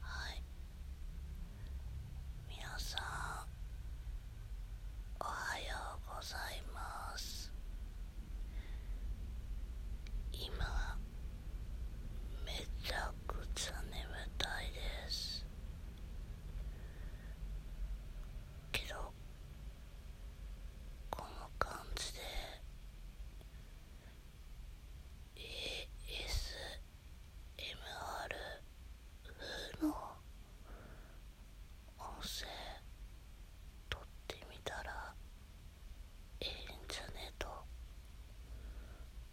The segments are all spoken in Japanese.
はい皆さんおはようございます今めちゃくちゃ眠たいですけどこの感じで ASMR 風の音声撮ってみたらええんじゃねえと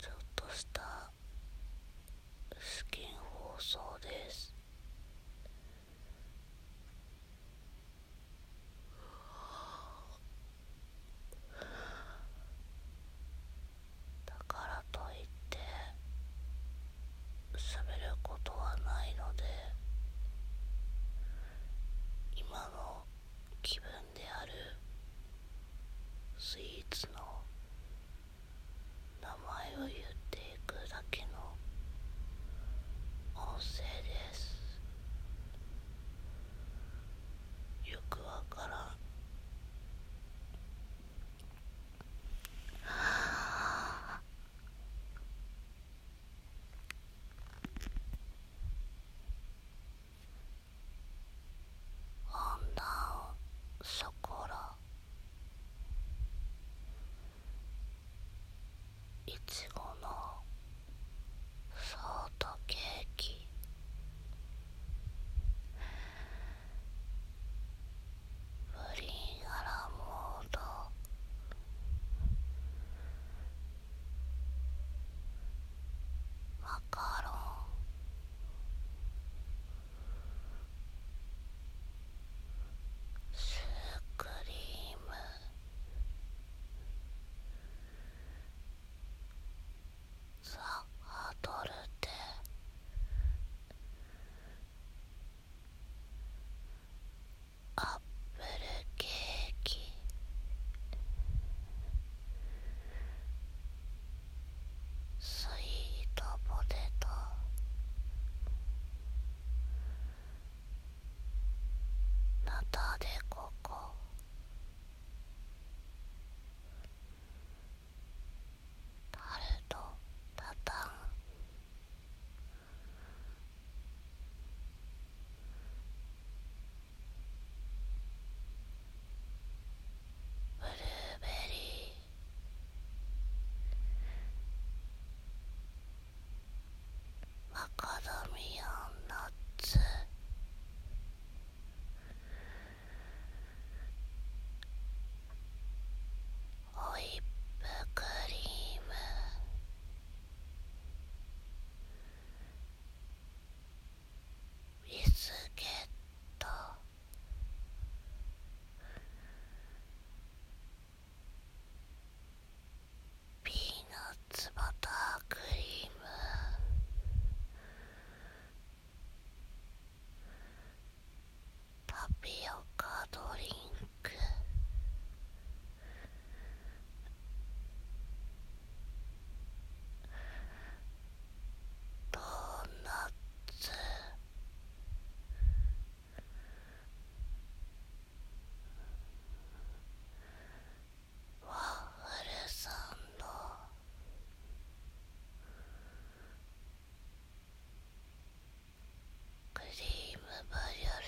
ちょっとした試験放送ですだからといって喋ることはないので今の気分であるスイーツの名前を言っていくだけの音声ですよくわからんああ女をそこらいちごのソートケーキプリンアラモードマカロンスクリームさあドルテアップルケーキスイートポテトナタデココタルトタタンブルーベリーマカダミアンナッツホイップクリームビスケットピーナッツバタークリームタピオカドリンクドーナツワッフルサンドクリームブリュレ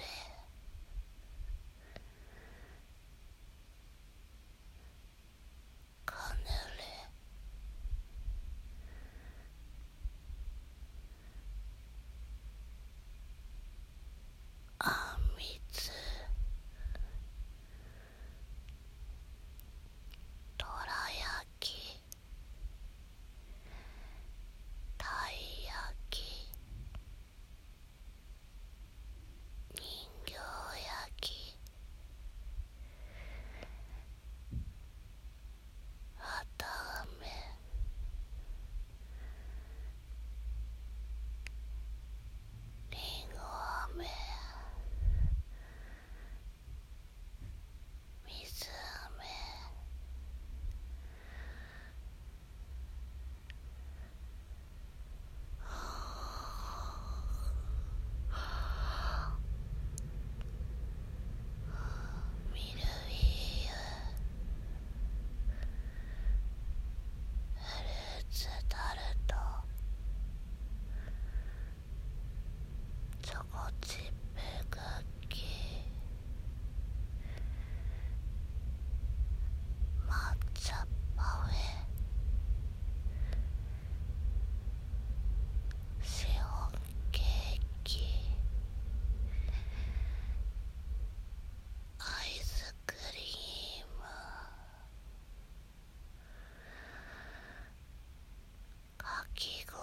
カヌレあみつどら焼きたい焼き人形焼きはたあめりんごあめ水あめミルフィーユフルーツタルトチョコチップクッき抹茶パフェシオンケーキアイスクリームかき氷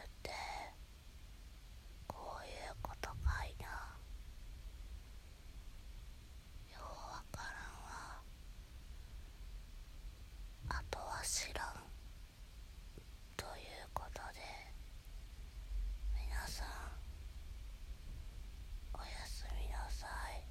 ASMR ってこういうことかいなようわからんわあとは知らんということで皆さんおやすみなさい